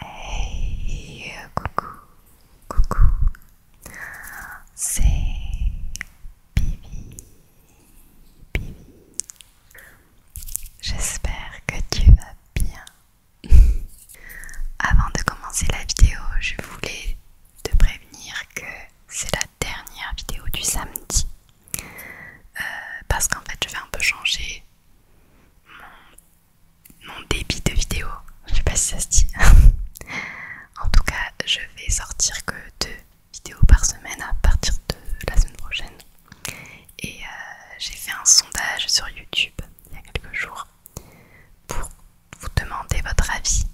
Hey, coucou, coucou, c'est Bibi, Bibi. J'espère que tu vas bien. Avant de commencer la vidéo, je voulais te prévenir que c'est la dernière vidéo du samedi euh, parce qu'en fait je vais un peu changer mon, débit de vidéo. Je sais pas si ça se dit. en tout cas, je vais sortir que deux vidéos par semaine à partir de la semaine prochaine. Et euh, j'ai fait un sondage sur YouTube il y a quelques jours pour vous demander votre avis,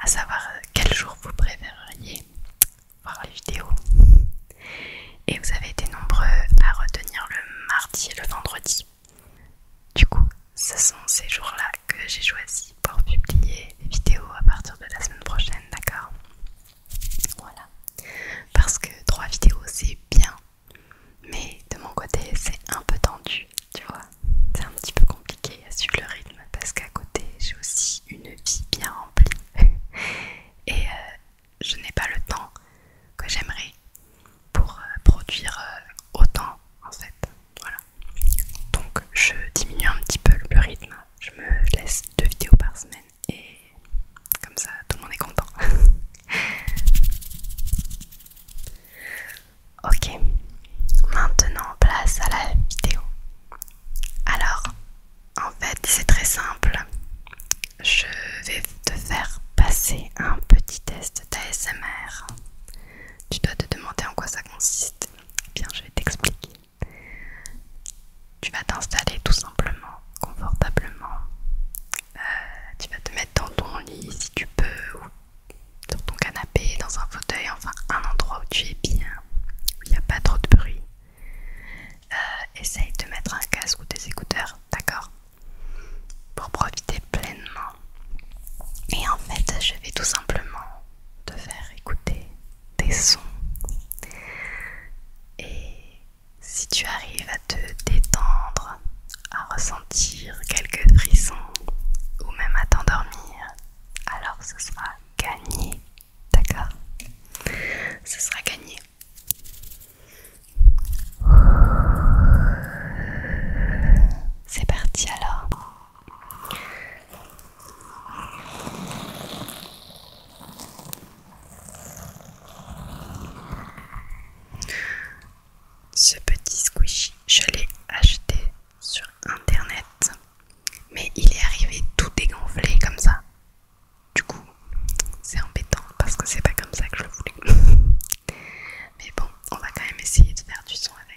à savoir euh, quel jour vous préféreriez voir les vidéos. Et vous avez été nombreux à retenir le mardi et le vendredi. Du coup, ce sont ces jours-là que j'ai choisi pour publier les vidéos à partir de la semaine prochaine, d'accord Voilà. Parce que trois vidéos, c'est bien. Mais de mon côté, c'est un peu tendu, tu vois. C'est un petit peu compliqué à suivre le rythme parce qu'à côté j'ai aussi une vie bien remplie et euh, je n'ai pas le temps que j'aimerais pour euh, produire euh, autant en fait. Voilà. Donc je diminue un petit peu le rythme, je me laisse deux vidéos par semaine et comme ça tout le monde est content. ok, maintenant place à la vidéo. Alors, en fait, c'est très simple. Je vais te faire passer un petit test d'ASMR. Tu dois te demander en quoi ça consiste. Eh bien, je vais t'expliquer. Tu vas t'installer tout simplement, confortablement. Euh, tu vas te mettre dans ton lit si tu peux, ou sur ton canapé, dans un fauteuil, enfin un endroit où tu es bien il n'y a pas trop de bruit. Euh, essaye de mettre un casque ou des écouteurs, d'accord Pour profiter pleinement. Et en fait, je vais tout simplement te faire écouter des sons. Et si tu arrives à te détendre, à ressentir quelques frissons ou même à t'endormir, alors ce sera gagné. D'accord Ce sera gagné. C'est parti alors. Ce petit squishy, je l'ai acheté sur internet, mais il est arrivé tout dégonflé comme ça. Du coup, c'est embêtant parce que c'est pas comme ça que je le voulais. mais bon, on va quand même essayer de faire du son avec.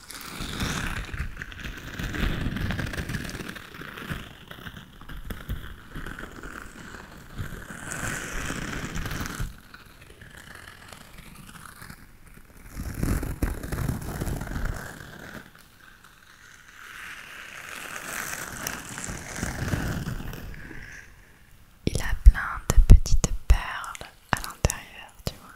Il a plein de petites perles à l'intérieur, tu vois.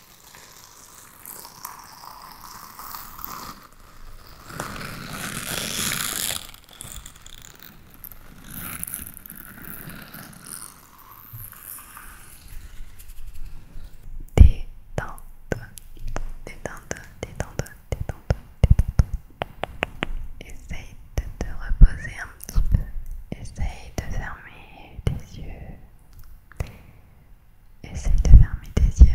Détente, détente, Essaye de te reposer un petit peu. Essaye de fermer tes yeux. Essaye de fermer tes yeux.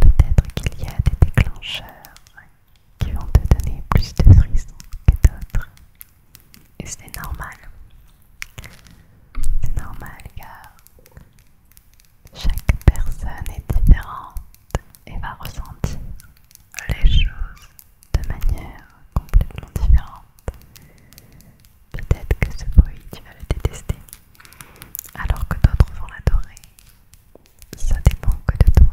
Peut-être qu'il y a des déclencheurs qui vont te donner plus de frissons que d'autres. Et c'est normal. C'est normal car chaque personne est différente et va ressentir les choses de manière complètement différente. Peut-être que ce bruit, tu vas le détester, alors que d'autres vont l'adorer. Ça dépend que de toi.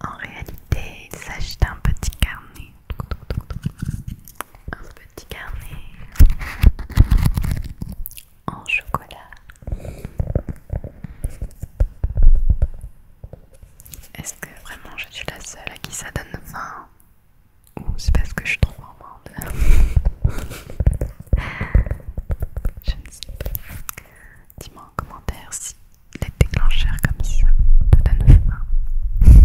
En réalité, il s'agit d'un petit carnet. Un petit carnet en chocolat. Est-ce que vraiment je suis la seule à qui ça donne 20 Ou c'est parce que je suis trop Je ne sais pas. Dis-moi en commentaire si les déclencheurs comme ça te donnent faim.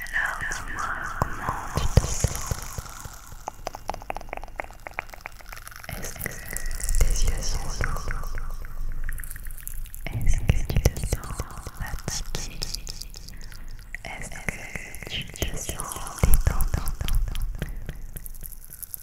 Alors, dis-moi comment tu te sens Est-ce que tes yeux sont lourds Est-ce que tu te sens fatigué Est-ce que tu te sens détendu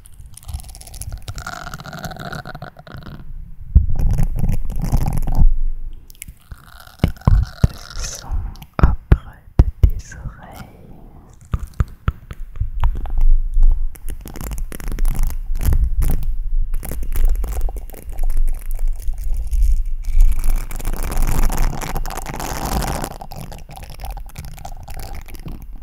Le son opre de tes oreilles.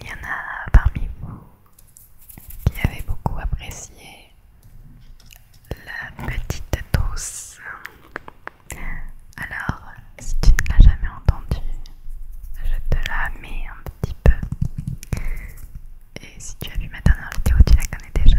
Il y en a parmi vous qui avez beaucoup apprécié la petite douce. Alors, si tu ne l'as jamais entendue, je te la mets un petit peu. Et si tu as vu ma dernière vidéo, tu la connais déjà.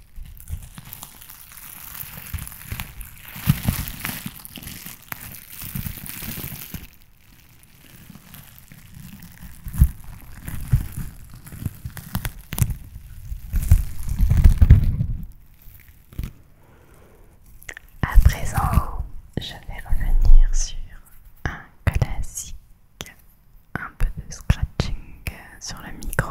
À présent, je vais revenir sur un classique un peu de scratching sur le micro.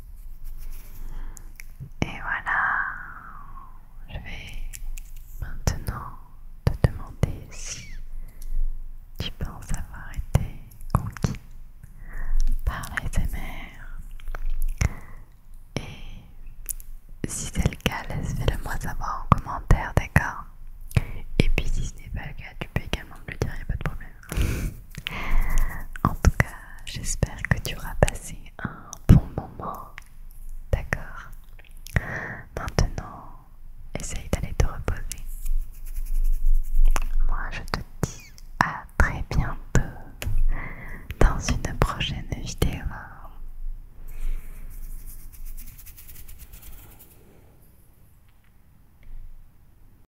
Et voilà, je vais maintenant te demander si tu penses avoir été conquis par l'ASMR. Et si c'est le cas, laisse-le moi savoir en commentaire, d'accord Et puis si ce n'est pas le cas, tu peux également me le dire, il n'y a pas de problème en tout cas, j'espère que tu auras passé un bon moment. D'accord Maintenant, essaye d'aller te reposer. Moi, je te dis à très bientôt dans une prochaine vidéo.